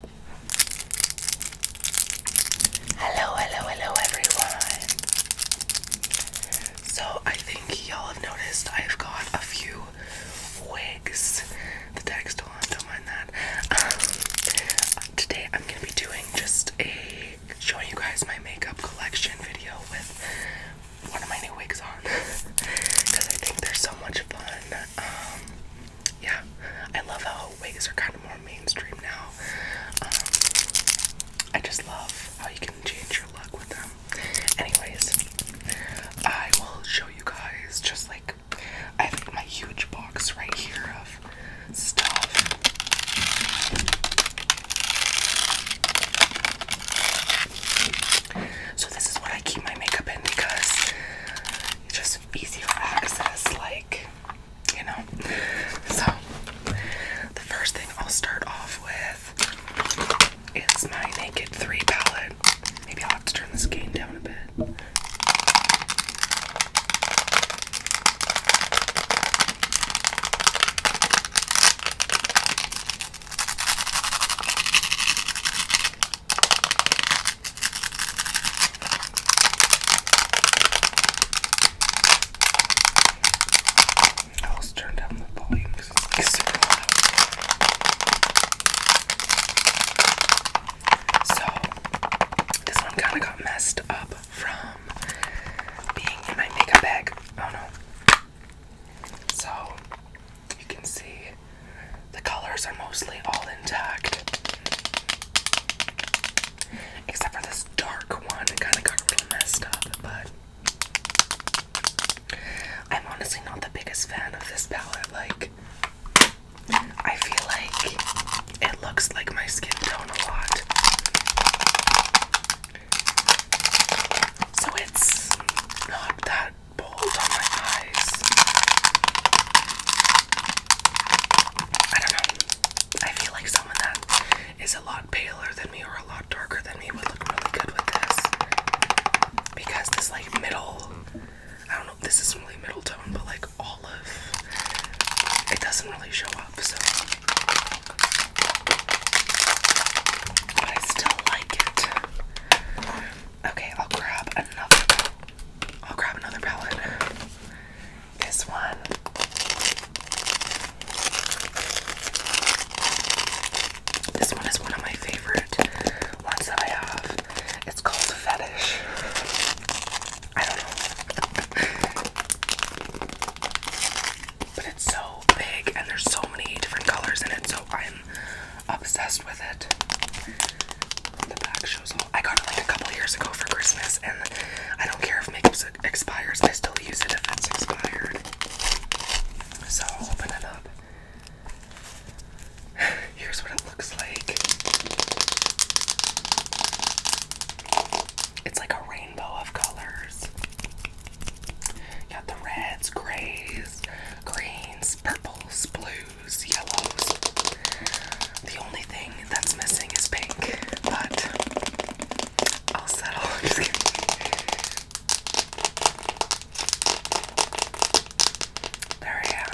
Hello, hello, hello everyone. So I think y'all have noticed I've got a few wigs. The text still don't mind that. Um, today I'm gonna be doing just a showing you guys my makeup collection video with one of my new wigs on because I think they're so much fun. Um, yeah, I love how wigs are kind of more mainstream now. Um, I just love how you can change your look with them. Anyways, I will show you guys just like I have my huge box right here of stuff. So this is what I keep my makeup in because just easier access, like you know. So the first thing I'll start off with is my Naked 3 palette. Maybe I'll have to turn this gain down a bit. I always turn down the volume because it's like super loud. So this one kind of got messed up from being in my makeup bag. Oh no. So you can see the colors are mostly all intact. Except for this dark one, it kind of got messed up, but I'm honestly not the biggest fan of this palette. Like, I feel like it looks like my skin tone a lot. So it's not that balls on my eyes. I don't know. I feel like someone that is a lot paler than me or a lot darker than me would look really good with this. Because this like middle I don't know if this is really middle tone, but like olive. It doesn't really show up, so but I still like it. Okay, I'll grab another I'll grab another palette. This one. This one is one of my favorite ones that I have. It's called Fetish. I don't know. but it's so big and there's so many different colors in it, so I'm obsessed with it. The back shows all. I got it like a couple years ago for Christmas, and I don't care if makeup expires. I still use it if it's expired. So open it up. Here's what it looks like. It's like a rainbow of colors. got the reds, grays, greens, purples, blues yellows. The only thing that's missing is pink, but I'll settle. just kidding. There I am.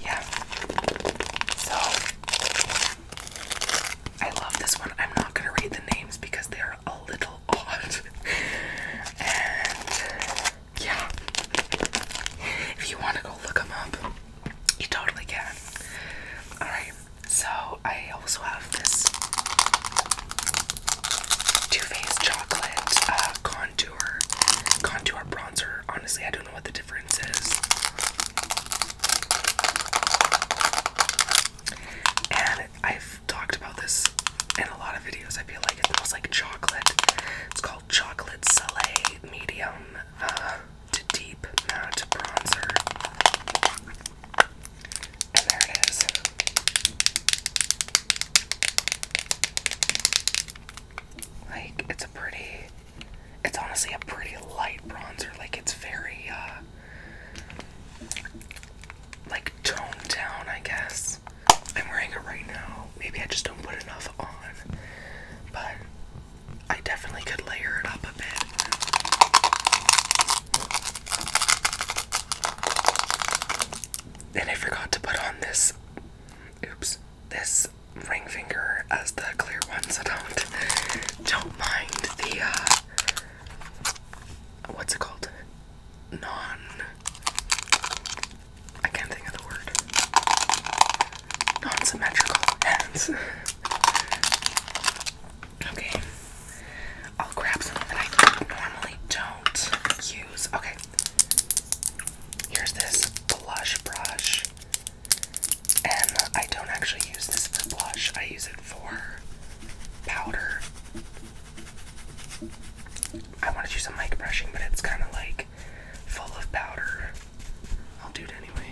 yeah. So I love this one. I'm not gonna read the names because they're a little yeah, if you want to go look them up, you totally can. Alright, so I also have this Too Faced Chocolate uh, Contour, Contour Bronzer. Honestly, I don't know what the difference is. And I've I've talked about this in a lot of videos. I feel like it smells like chocolate. It's called Chocolate Soleil Medium uh, to Deep Matte Bronzer. And there it is. Like, it's a pretty, it's honestly a pretty light bronzer. Like, it's very, uh, like toned down, I guess. I'm wearing it right now. Maybe I just don't put enough on, but I definitely could layer it up a bit. And I forgot to put on this, oops, this ring finger as the clear ones. So don't, don't mind the uh, what's it called? Non. I can't think of the word. Non symmetrical hands. okay. I'll grab something that I normally don't use. Okay. Here's this blush brush. And I don't actually use this blush, I use it for powder. I want to do some mic brushing, but it's kind of like full of powder. I'll do it anyway.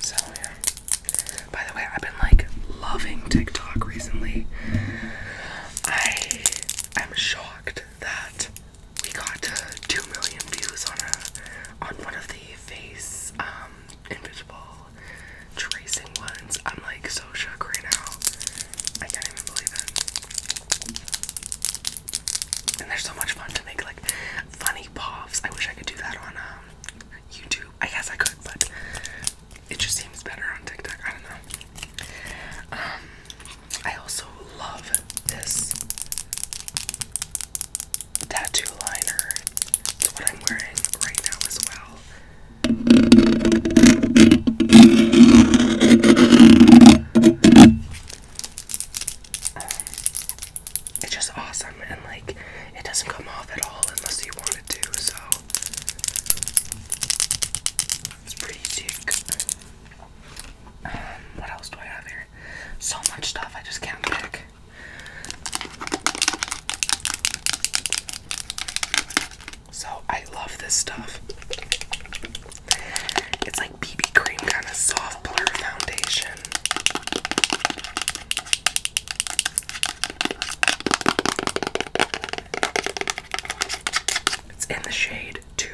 So, yeah. By the way, I've been like loving TikTok recently. I am shocked that we got two million views on a on one of the face um invisible tracing ones. I'm like so shook right now. I can't even believe it. And they're so much fun to make like funny puffs. I wish I could do that on um YouTube. I guess I could, but it just seems better on TikTok. I don't know. Um, I also love this tattoo liner. It's what I'm wearing right now as well. it's just awesome and like it doesn't come off at all unless you want it to, so it's pretty thick. Um, what else do I have here? So much stuff I just can't pick. So I love this stuff. It's like BB cream kind of soft blur foundation. It's in the shade 2,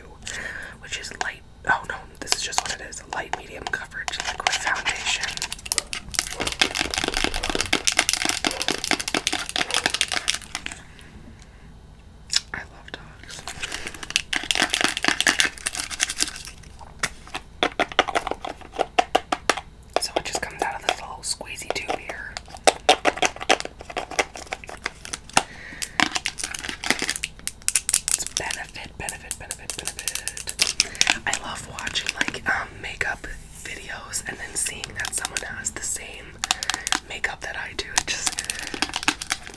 which is light. Oh no, this is just what it is light medium coverage liquid foundation. I love dogs. So it just comes out of this little squeezy tube here. It's benefit, benefit, benefit, benefit. I love watching like um, makeup videos and then seeing that someone has the same makeup that I do. It just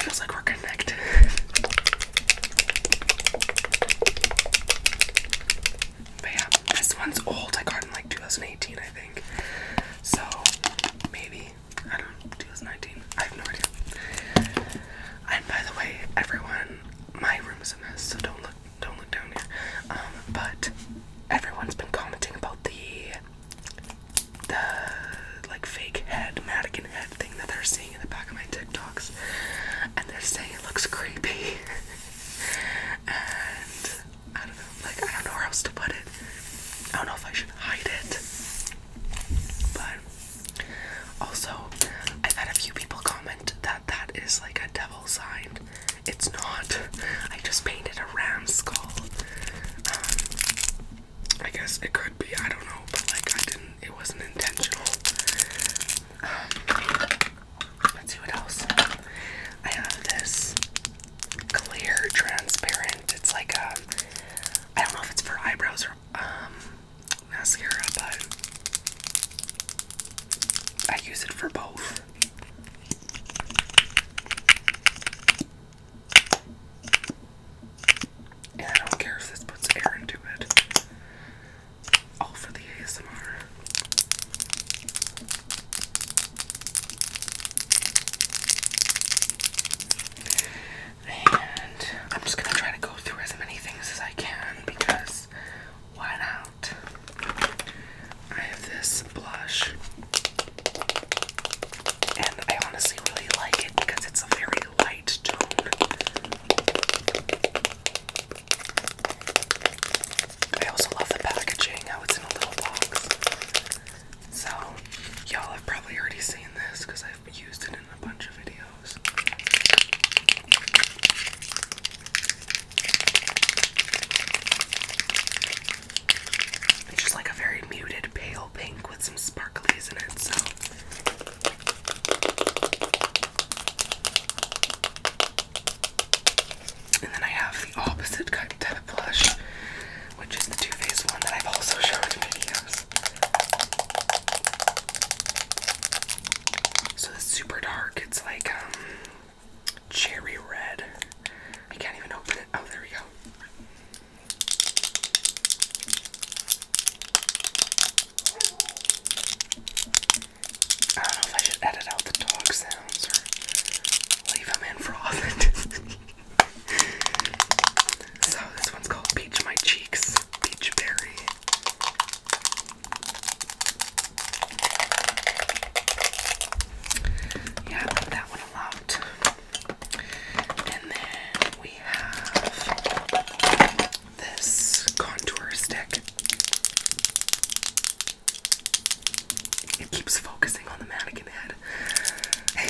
feels like we're connected. But this one's old. I got it in like 2018, I think. So maybe I don't. 2019. I have no idea. And by the way, everyone, my room is a mess, so don't look, don't look down here. Um, but everyone's been commenting about the the like fake head, Madigan head thing that they're seeing in the back of my TikToks, and they're saying it looks creepy. and I don't know. Like I don't know where else to put it. I don't know if I should hide it. But also, I've had a few people comment that that is like a devil sign. It's not. I just painted a ram skull. Um, I guess it could be. I don't know, but like I didn't. It wasn't intentional. Um, let's see what else. I have this clear, transparent. It's like a, I don't know if it's for eyebrows or um, mascara, but I use it for both. And I don't care if this puts air into it. All for the ASMR. And I'm just gonna try to go through as many things as I can because why not? I have this blush, and I honestly really like it because it's a very light tone. I also love the packaging, how it's in a little box. So, y'all have probably already seen this because I've used it in a bunch of videos. It's just like a very muted pale pink with some sparklies in it, so. And then I have the opposite type of blush, which is the Too Faced one that I've also shown in videos. So it's super dark. It's like um, cherry red. I can't even open it. Oh, there we go. I don't know if I should edit out the dog sounds leave them in for so this one's called Peach My Cheeks Peach Berry. Yeah, I love that one a lot. And then we have this contour stick. It keeps focusing on the mannequin head. I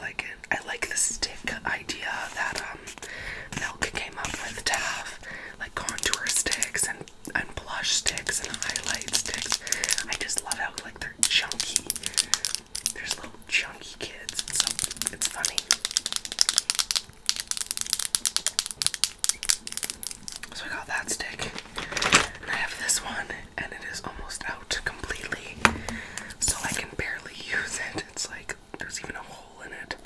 like it. I like the stick idea that um came up with to have like contour sticks and and blush sticks and highlight sticks. I just love how like they're chunky. There's little chunky kids, so it's funny. So I got that stick. And I have this one, and it is almost out completely. So I can barely use it. It's like there's even a hole in it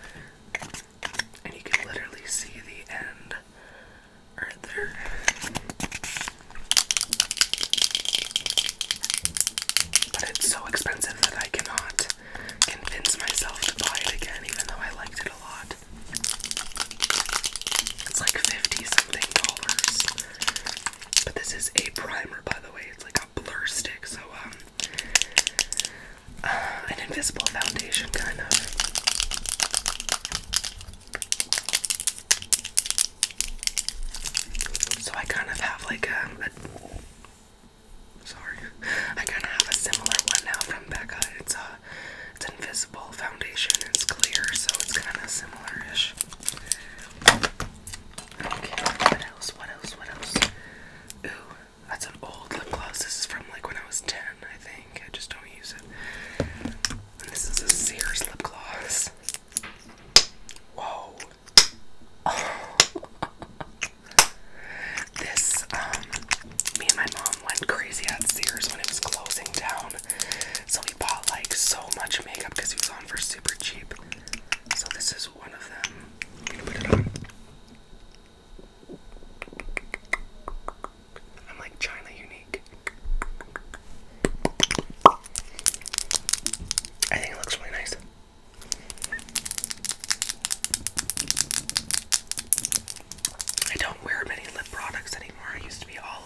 and you can literally see the end right there. But it's so expensive that I cannot convince myself to buy it again, even though I liked it a lot. It's like 50 something dollars. But this is a primer, by the way. It's like a blur stick, so um an invisible foundation, kind of. So I kind of have like um, a. Sorry, I kind of have a similar one now from Becca. It's a, it's invisible foundation. It's clear, so it's kind of similar-ish. Okay, what else? What else? What else? Ooh, that's an old lip gloss. This is from like when I was 10, I think. I just don't use it. this is a Sears lip gloss. Whoa. this, um, me and my mom went crazy at Sears when it was closing down. So we bought like so much makeup because it was on for super cheap. So this is one of them. put it on. I'm like China unique. I think it looks really nice. I don't wear many lip products anymore. I used to be all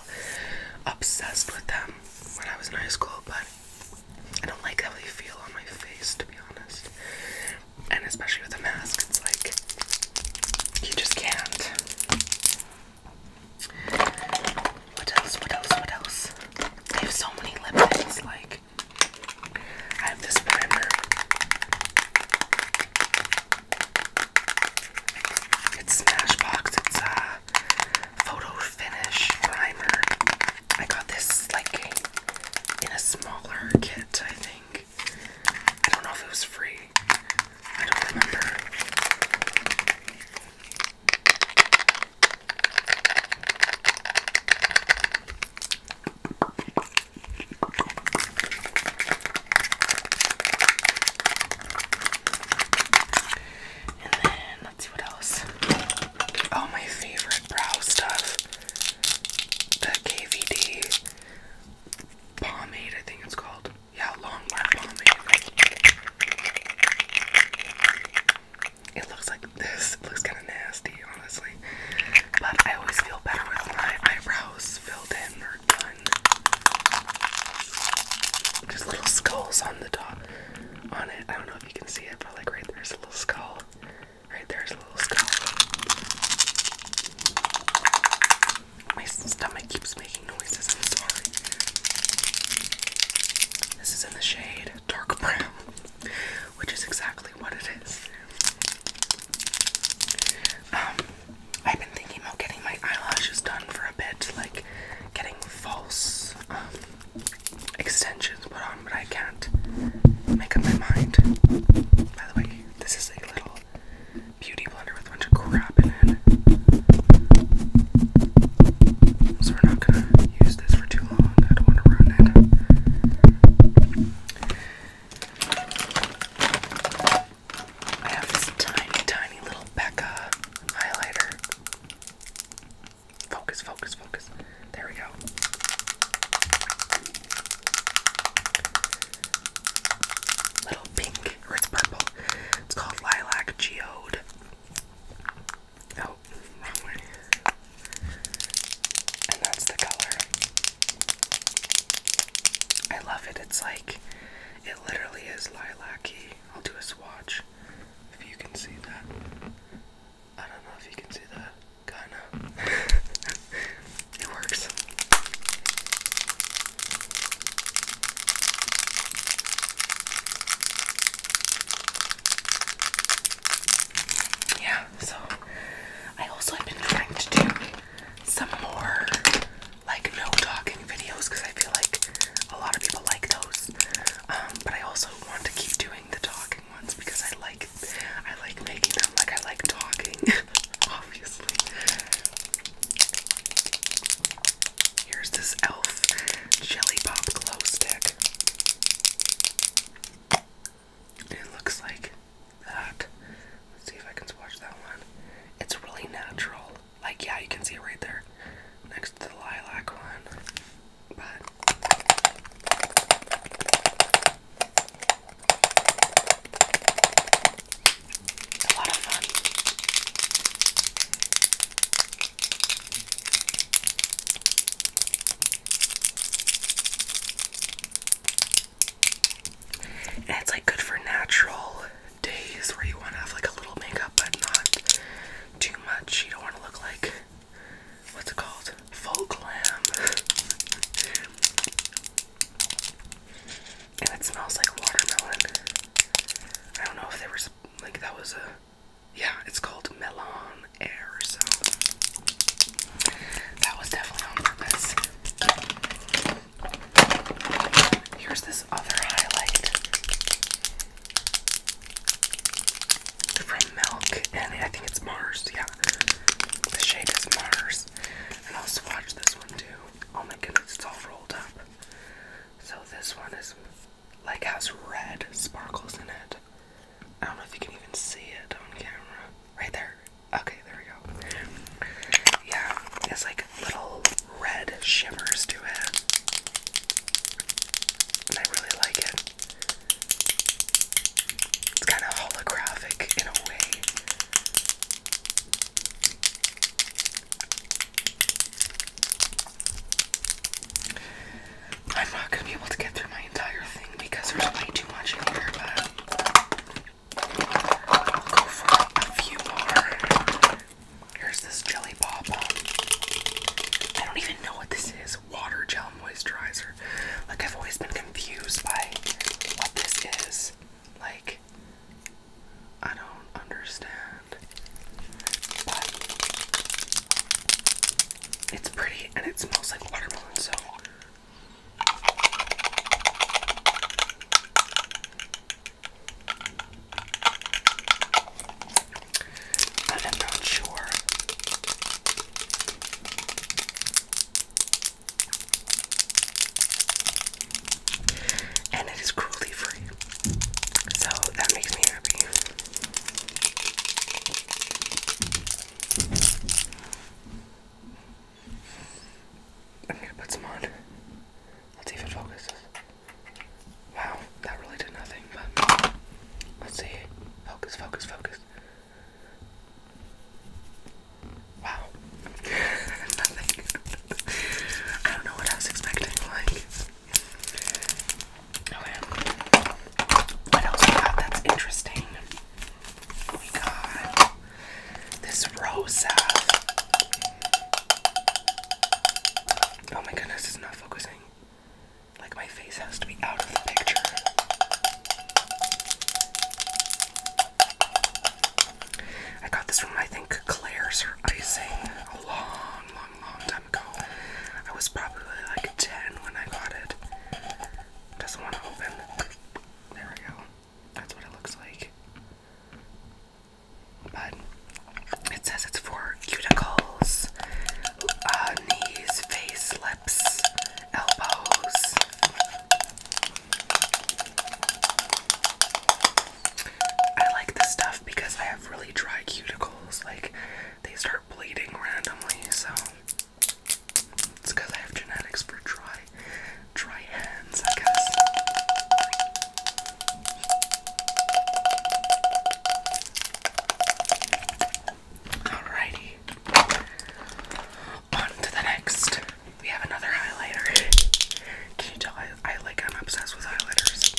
obsessed with them when I was in high school, but I don't like how they feel on my face, to be honest and especially with a mask, it's like you just can't. What else? What else? What else? I have so many lip Like I have this primer. It's Smashbox. It's a photo finish primer. I got this like in a smaller kit, I think. I don't know if it was free. I don't remember. And then let's see what else. Oh, my favorite brow stuff. The KVD pomade, I think it's called. Yeah, long wear pomade. It looks like this. It looks kind of nasty, honestly. But I always feel better with my eyebrows filled in or done. Just little skulls on the top on it. I don't know if you can see it, but like right there's a little skull. Right there's a little skull. My stomach keeps making noises, I'm sorry. This is in the shade dark brown, which is exactly what it is. Um, I've been thinking about getting my eyelashes done for a bit, like getting false um, extensions put um, but I can't make up my mind. By the way, this is a little beauty blender with a bunch of crap in it. So we're not gonna use this for too long. I don't wanna run it. I have this tiny, tiny little Becca highlighter. Focus, focus, focus. There we go. Little pink, or it's purple. It's called Lilac Geode. Oh, wrong way. And that's the color. I love it. It's like, it literally is lilac-y. I'll do a swatch if you can see that. I don't know if you can see that. Kinda. it works. Yeah, so I also have been trying to do some more like no talking videos because I feel like a lot of people like those. Um, but I also want to keep doing the talking ones because I like I like making them. Like I like talking, obviously. Here's this elf jelly pop glow stick. It looks like that. Let's see if I can swatch that one. It's really natural. Like yeah, you can see it right there next to the lilac one but it's a lot of fun. And it's like good for natural days where you want to have like a little makeup but not too much. You don't want to look like what's it called? Folk lamb. and it smells like watermelon. I don't know if there was like that was a yeah, it's called melon air, so that was definitely on purpose. Here's this other highlight milk, and I think it's Mars. Yeah, the shade is Mars. And I'll swatch this one too. Oh my goodness, it's all rolled up. So this one is like has red sparkles in it. I don't know if you can even see it on camera. Right there. Okay, there we go. Yeah, it's like little red shimmers to it. And I really like it. It's kind of holographic in a way. I'm not gonna be able to get through my entire thing because there's way too much in here, but I'll go for a few more. Here's this jelly pop. I don't even know what this is water gel moisturizer. Like, I've always been confused by what this is. Like, I don't understand. But it's pretty and it smells like watermelon, so. I'm not sure and it is cruelty free. So that makes me happy. I'm gonna put some on. Let's see if Wow, that really did nothing, let's see. Focus, focus, focus this. Wow. Nothing. I don't know what I expecting, like. Okay. Oh, what else we got that's interesting? We got this Rosa. Oh my goodness, it's not focusing. Like my face has to be out of the picture. I got this from I think Claire's her icing a long, long, long time ago. I was probably like 10 when I got it. Doesn't want to open. There we go. That's what it looks like. But it says it's for cuticles, uh, knees, face, lips, elbows. I like this stuff because I have really dry cuticles. Like, they start bleeding randomly, so it's because I have genetics for dry, dry hands, I guess. Alrighty. On to the next. We have another highlighter. Can you tell I, like I'm obsessed with highlighters?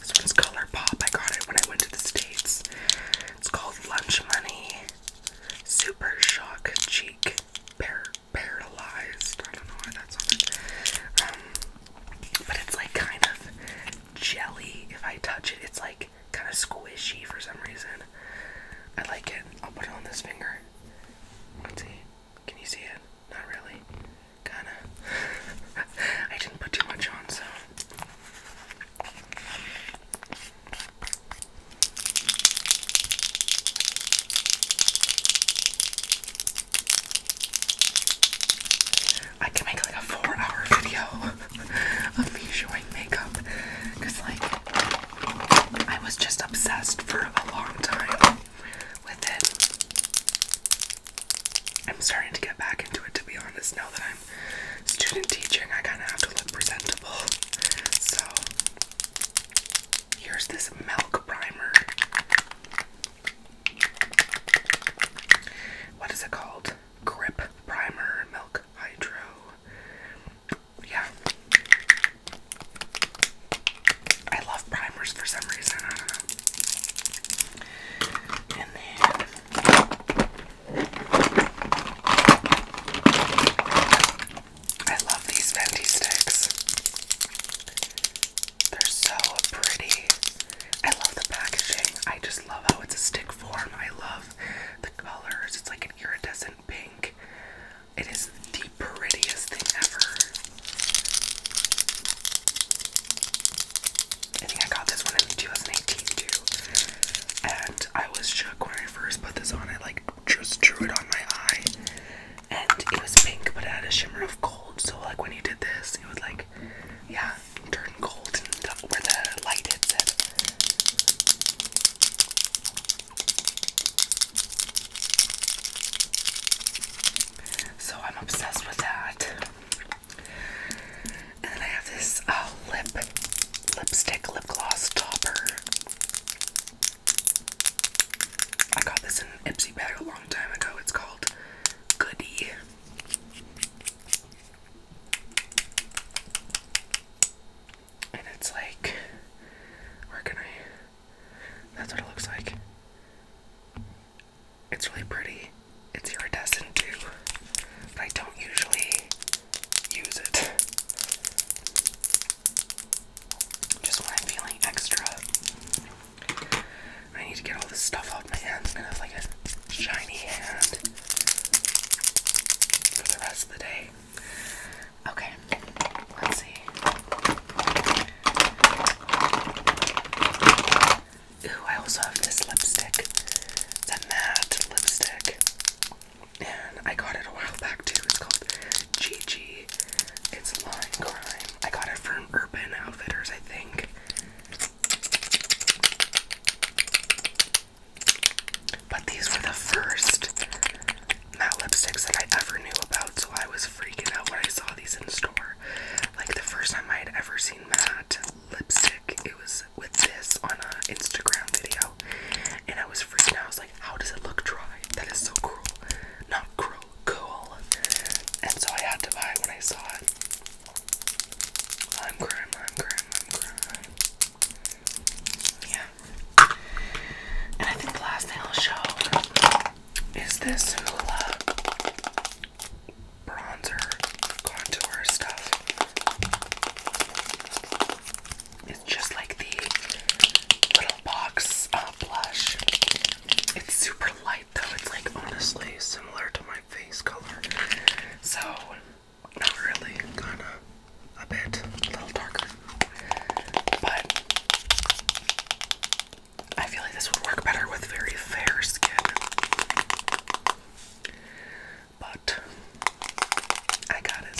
This one's Color I got it when I went to the States. It's called Lunch Money Super Shock Cheek Par Paralyzed. I don't know why that's on but it's like kind of jelly. If I touch it, it's like kind of squishy for some reason. I like it. I'll put it on this finger. Let's see. Can you see it? Not really. Kinda. I didn't put too much on, so. I can make like a four hour video of me showing makeup because, like, I was just obsessed for a long time with it. I'm starting to get back into it to be honest now that I'm student teaching, I kind of have to look presentable. So, here's this milk primer. What is it called? Grip Primer Milk Hydro. Yeah. I love primers for some reason. I don't know. And then I love these Fenty sticks. They're so pretty. I love the packaging. I just love how it's a stick form. I love the colors. It's like an iridescent pink. It is the prettiest thing ever. I think I got this one in 2018 too. And I was shook when I first put this on. I like just drew it on my eye and it was pink, but it had a shimmer of gold. So like when you did this, it would like, yeah, turn gold and where the light hits it. So I'm obsessed with that. And then I have this uh, lip lipstick lip gloss topper. I got this in Ipsy Bag time ago. It's called Goody. And it's like, where can I? That's what it looks like. It's really pretty. It's iridescent too, I don't usually use it. Just when I'm feeling extra I need to get all this stuff off my hands. I'm gonna have like a shiny hand for the rest of the day. Okay, let's see. Ooh, I also have this lipstick. It's matte lipstick. And I got it a while back too. It's called Gigi it's Line Crime. I got it from Urban Outfitters, I think. But these were the first matte lipsticks that I ever knew about, so I was freaking out when I saw these in store. Like the first time I had ever seen matte lipstick, it was with this on an Instagram video, and I was freaking out. I was like, "How does it look dry? That is so cruel. Not cruel, cool. And so I had to buy it when I saw it. I'm crying, I'm crying, I'm crying. Yeah. And I think the last thing I'll show is this Hoola bronzer contour stuff. It's just like the little box uh, blush. It's super light though. It's like honestly similar to my face color. So, not really, kinda a bit, a little darker. But I feel like this would work better with very fair skin. But I got it,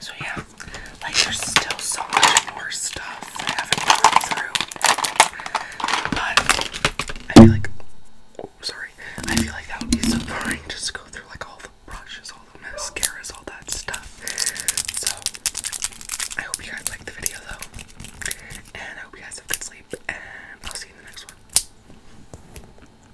so yeah, like there's still so much more stuff I haven't gone through. But I feel like sorry. I feel like that would be so boring just to go through like all the brushes, all the mascaras, all that stuff. So I hope you guys liked the video though. And I hope you guys have good sleep and I'll see you in the next one.